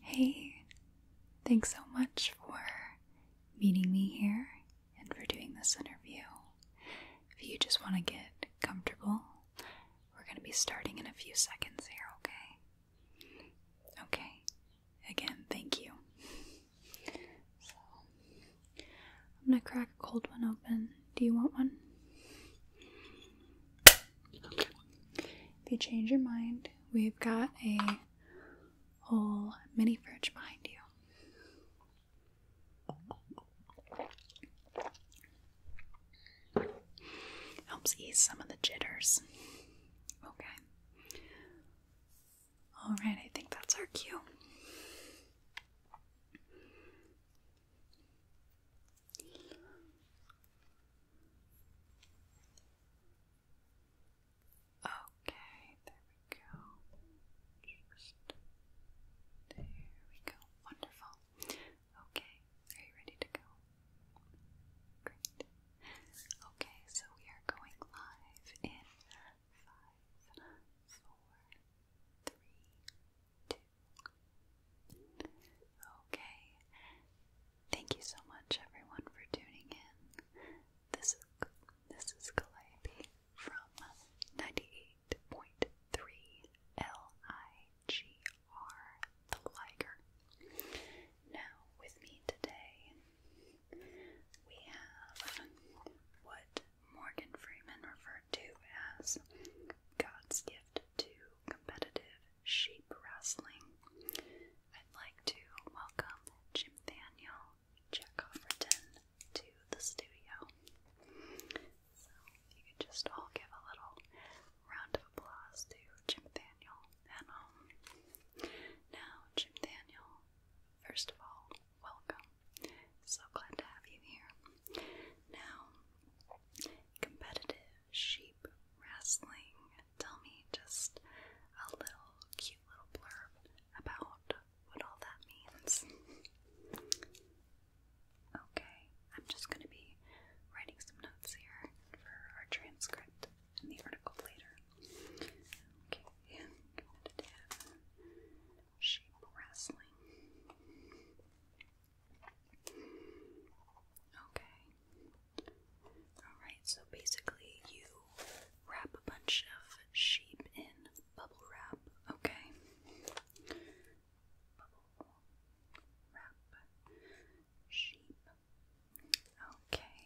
Hey, thanks so much for meeting me here and for doing this interview. If you just want to get comfortable, we're going to be starting in a few seconds here, okay? Okay, again, thank you. So, I'm going to crack a cold one open. Do you want one? If you change your mind, we've got a whole mini fridge behind you. Helps ease some of the jitters. Okay. Alright, I think that's our cue. Okay, there we go. Just there we go. Wonderful. Okay, are you ready to go? Great. Okay, so we are going live in five, four, three, two, Okay. Thank you so much everyone for tuning in. This is this is Calliope from 98.3 L-I-G-R the Liger. Now with me today we have what Morgan Freeman referred to as God's gift to competitive sheep wrestling. I'd like to welcome Jim Daniel Jack to the studio. So you could just all give a little round of applause to Jim Daniel at um, Now, Jim Daniel, first of all, welcome. So glad to have you here. Now, competitive sheep wrestling. Tell me just a little cute little blurb about what all that means. Okay, I'm just going to be writing some notes here for our transcript and the article later. Okay, competitive sheep wrestling. Okay. Alright, so basically you wrap a bunch of sheep in bubble wrap, okay? Bubble wrap sheep. Okay.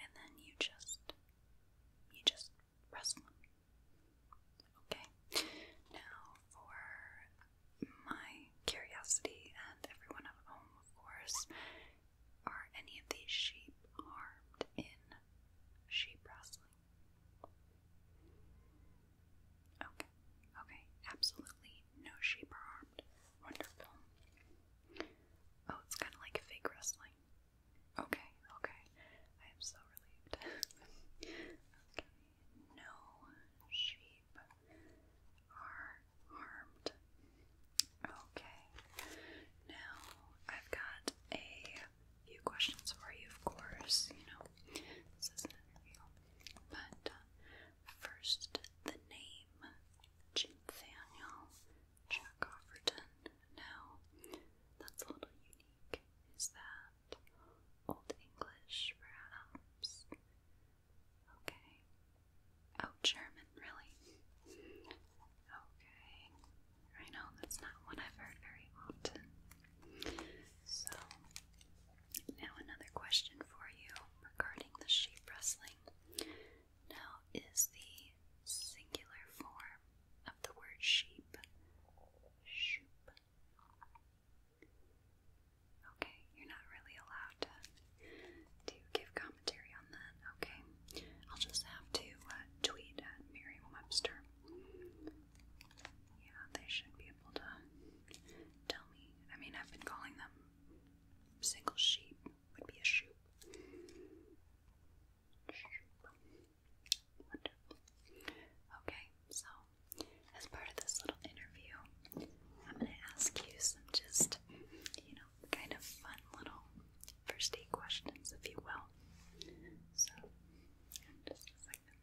And then you just you just rustle them. Okay, now for my curiosity and everyone at home, of course, are any of these sheep harmed in sheep wrestling? Okay, okay, absolutely no sheep are harmed. Wonderful. Oh, it's kind of like fake wrestling. Okay, okay. I am so relieved. okay, no sheep are harmed. Okay, now I've got a few questions for you, of course. You know, this is an interview. But uh, first, the name Nathaniel Jack Now, that's a little unique. Is that Old English, perhaps? Okay. Oh, German, really? Okay. I know that's not one I've heard very often. So, now another question for you regarding the sheep wrestling. Now, is the singular form of the word sheep, sheep, Okay, you're not really allowed to to give commentary on that. Okay, I'll just have to uh, tweet at Merriam-Webster. Yeah, they should be able to tell me. I mean, I've been calling them single sheep would be a shoop. Wonderful. Okay, so as part of this little interview, I'm going to ask you some just, you know, kind of fun little first aid questions, if you will. So, just a second.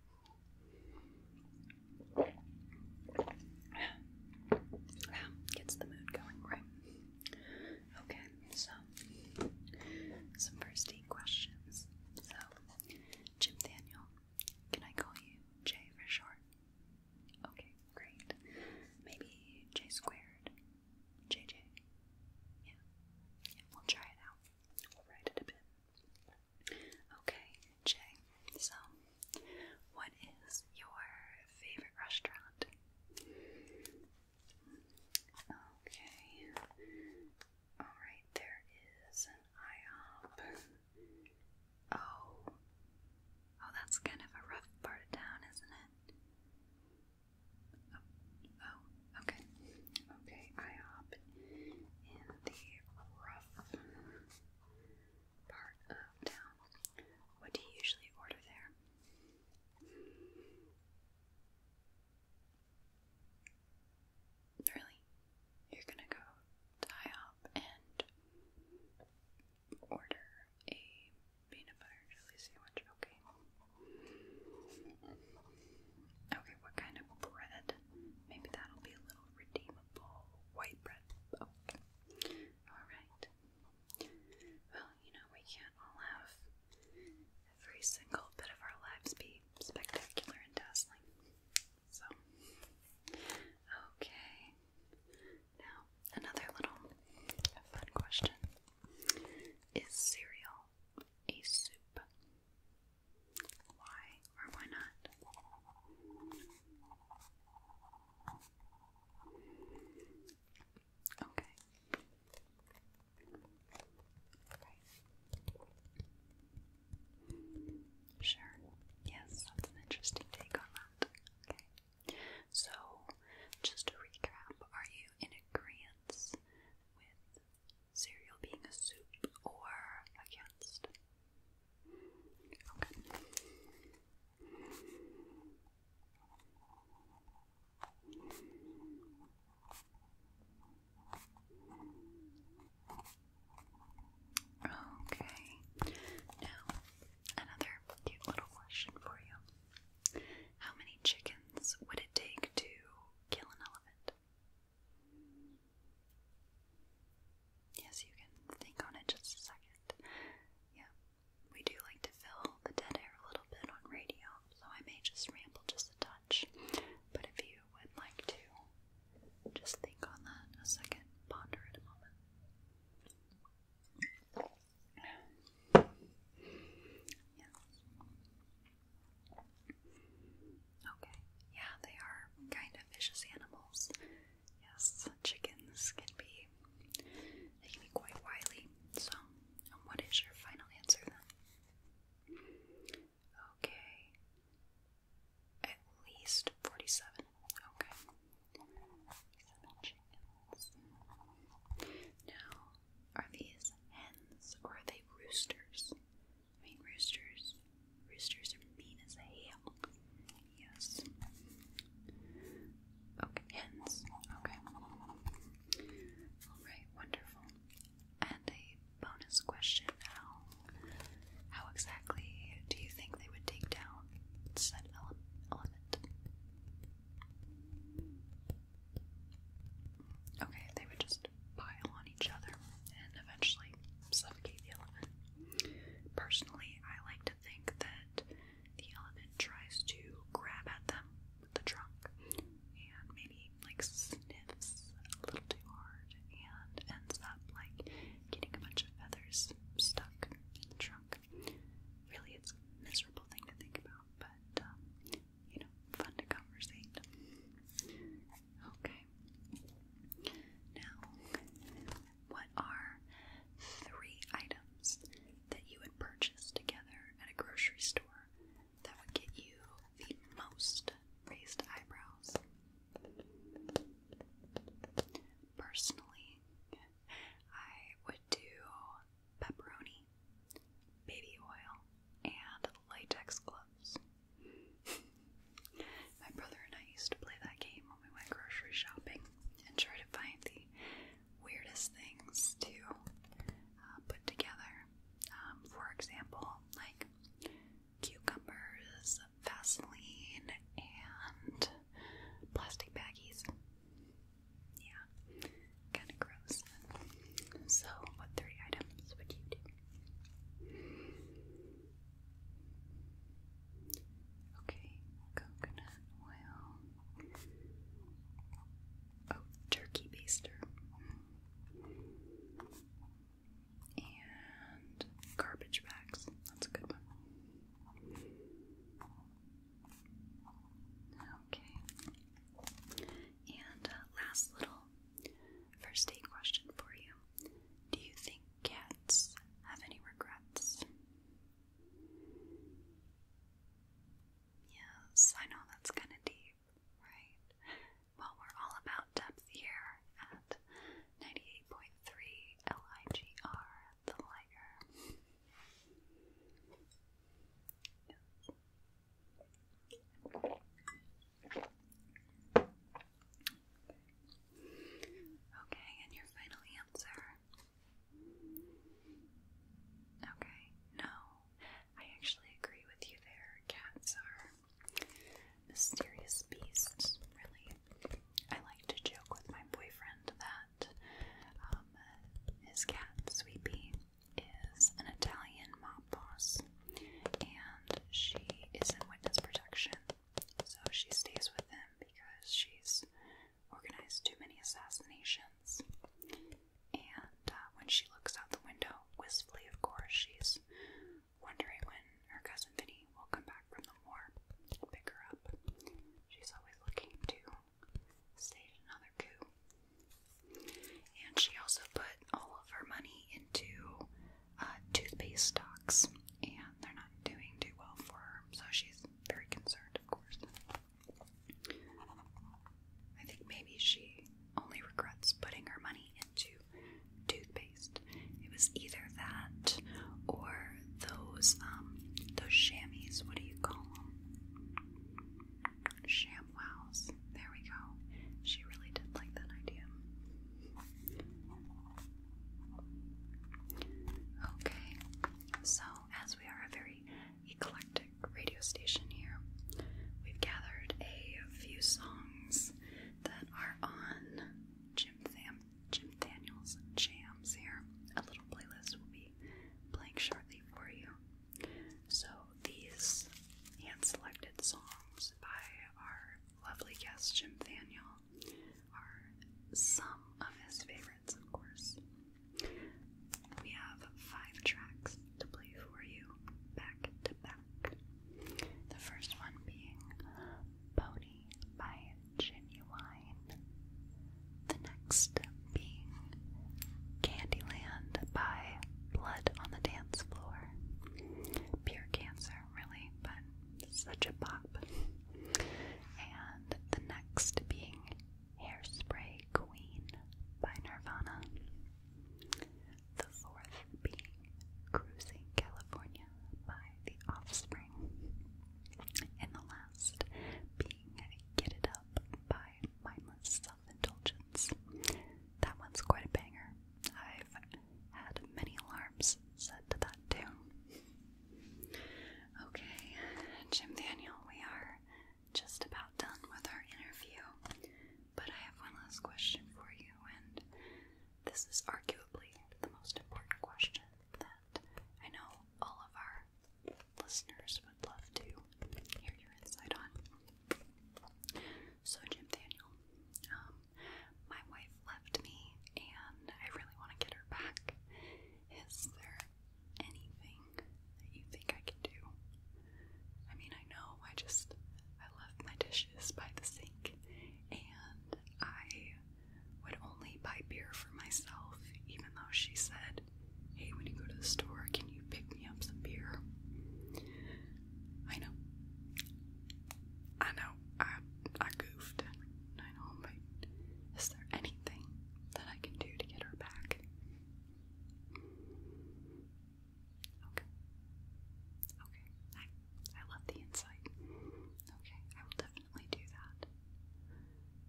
gets the mood going, right? Okay, so some first aid questions. So, Jim Daniel. Can I call you Jay for short? Okay, great. Maybe J squared. JJ. Yeah. Yeah, we'll try it out. We'll write it a bit. Okay, Jay. So, what is your favorite restaurant? Okay. Alright, there is an IHOP. Oh. Oh, that's kind of a rough part of town, isn't it? Oh, oh okay. Okay, IHOP in the rough part of town. What do you usually order there? Really? You're gonna go tie up and order a peanut butter jelly sandwich, okay? Okay, what kind of bread? Maybe that'll be a little redeemable. White bread. Okay. Alright. Well, you know, we can't all have every single bit of our lives be spectacular and dazzling. So, okay. Now, another little fun question Is cereal a soup? Why or why not? Okay. Right. Sure. Yes, that's an interesting take on Okay. So, just to recap, are you in agreement with cereal being a soup or against? Okay. Okay. Now, another cute little question for you. How many chickens would it take to kill an elephant? Yes, you can think on it just a second. Yeah, we do like to fill the dead air a little bit on radio, so I may just ramble just a touch. But if you would like to just think on that a second, ponder at a moment. Yes. Okay, yeah, they are kind of vicious animals. Yes, chickens can be they can be quite wily. So, um, what is your final answer then? Okay. At least 47. Okay. 47 chickens. Now, are these hens or are they roosters? I mean, roosters. Roosters are mean as hell. Yes. Okay, hens. Okay. Alright, wonderful. And a bonus question now. How exactly do you think they would take down said ele element? Okay, they would just pile on each other and eventually suffocate the element. Personally, I like to think that the element tries to grab at them the trunk and maybe like sniffs a little too hard and ends up like getting a bunch of feathers stuck in the trunk. Really, it's miserable thing to think about, but um, you know, fun to conversate. Okay. Now, what are three items that you would purchase together at a grocery store that would get you the most raised eyebrows. Personally, I would do pepperoni, baby oil, and latex gloves. My brother and I used to play that game when we went grocery shopping and try to find the weirdest things to uh, put together um, for example, like cucumbers, Vaseline, and plastic baggies. Yeah, kind of gross. So, what three items would you do? Okay, coconut oil oh, turkey baster, and garbage bags. That's a good one. Okay. And uh, last little first aid question for you. Do you think cats have any regrets? Yes, I know that's kind of deep, right? Well, we're all about depth here at 98.3 LIGR, the Liger. Okay, and your final answer. Okay, no, I actually agree with you there. Cats are mysterious beasts, really. I like to joke with my boyfriend that um, his cat, Sweepy, is an Italian mob boss, and she is in witness protection. So she stays with him because she's organized too many assassinations. And uh, when she looks out the window, wistfully, of course, she's wondering when her cousin Vinny will come back from the war and pick her up. She's always looking to stage another coup. And she also put all of her money into uh, toothpaste stocks, and they're not doing too well for her, so she's very concerned, of course. I think maybe she only regrets putting her money into toothpaste. It was either that or those um those chamois. What do you call them? Shamwows. There we go. She really did like that idea. Okay, so as we are a very eclectic radio station here. We've gathered a few songs that are on Jim, Tham Jim Daniels Jams here. A little playlist will be playing shortly for you. So these hand-selected songs by our lovely guest Jim Daniel are some of his favorite of course. We have five tracks to play for you, back to back. The first one being Pony by Genuine. The next being Candyland by Blood on the Dance Floor. Pure cancer, really, but such a pop. And the next being Hairspray Queen by Nirvana. The fourth being Cruising California by The Offspring. And the last being Get It Up by Mindless Self Indulgence. That one's quite a banger. I've had many alarms set to that tune. Okay, Jim Daniel, we are just about done with our interview, but I have one last question for you, and this is arguably the most important question that I know all of our listeners would love to hear your insight on. So, Jim Daniel, um, my wife left me, and I really want to get her back. Is there anything that you think I can do? I mean, I know I just I left my dishes by the sink and I would only buy beer for myself, even though she said, Hey, when you go to the store, can you pick me up some beer? I know. I know. I I goofed. I know, but is there anything that I can do to get her back. Okay. Okay. I I love the insight. Okay, I will definitely do that.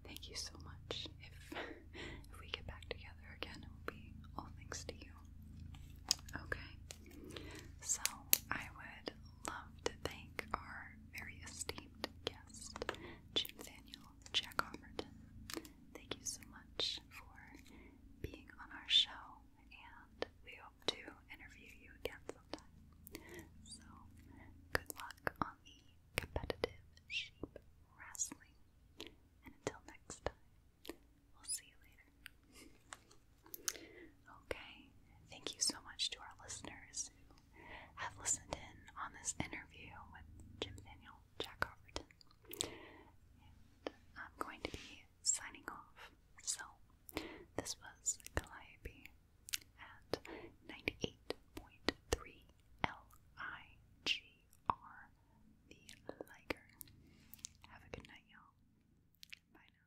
Thank you so much. If if we get back together again, it will be all thanks to you. Okay. So I would love to thank our very esteemed guest, Jim Daniel, Jack Offerton. Thank you so much for being on our show, and we hope to interview you again sometime. So, good luck on the competitive sheep wrestling, and until next time, we'll see you later. Okay, thank you so much to our listeners have listened in on this interview with Jim Daniel Jack Overton. And I'm going to be signing off. So, this was Calliope at 98.3 L-I-G-R, the Liger. Have a good night, y'all. Bye now.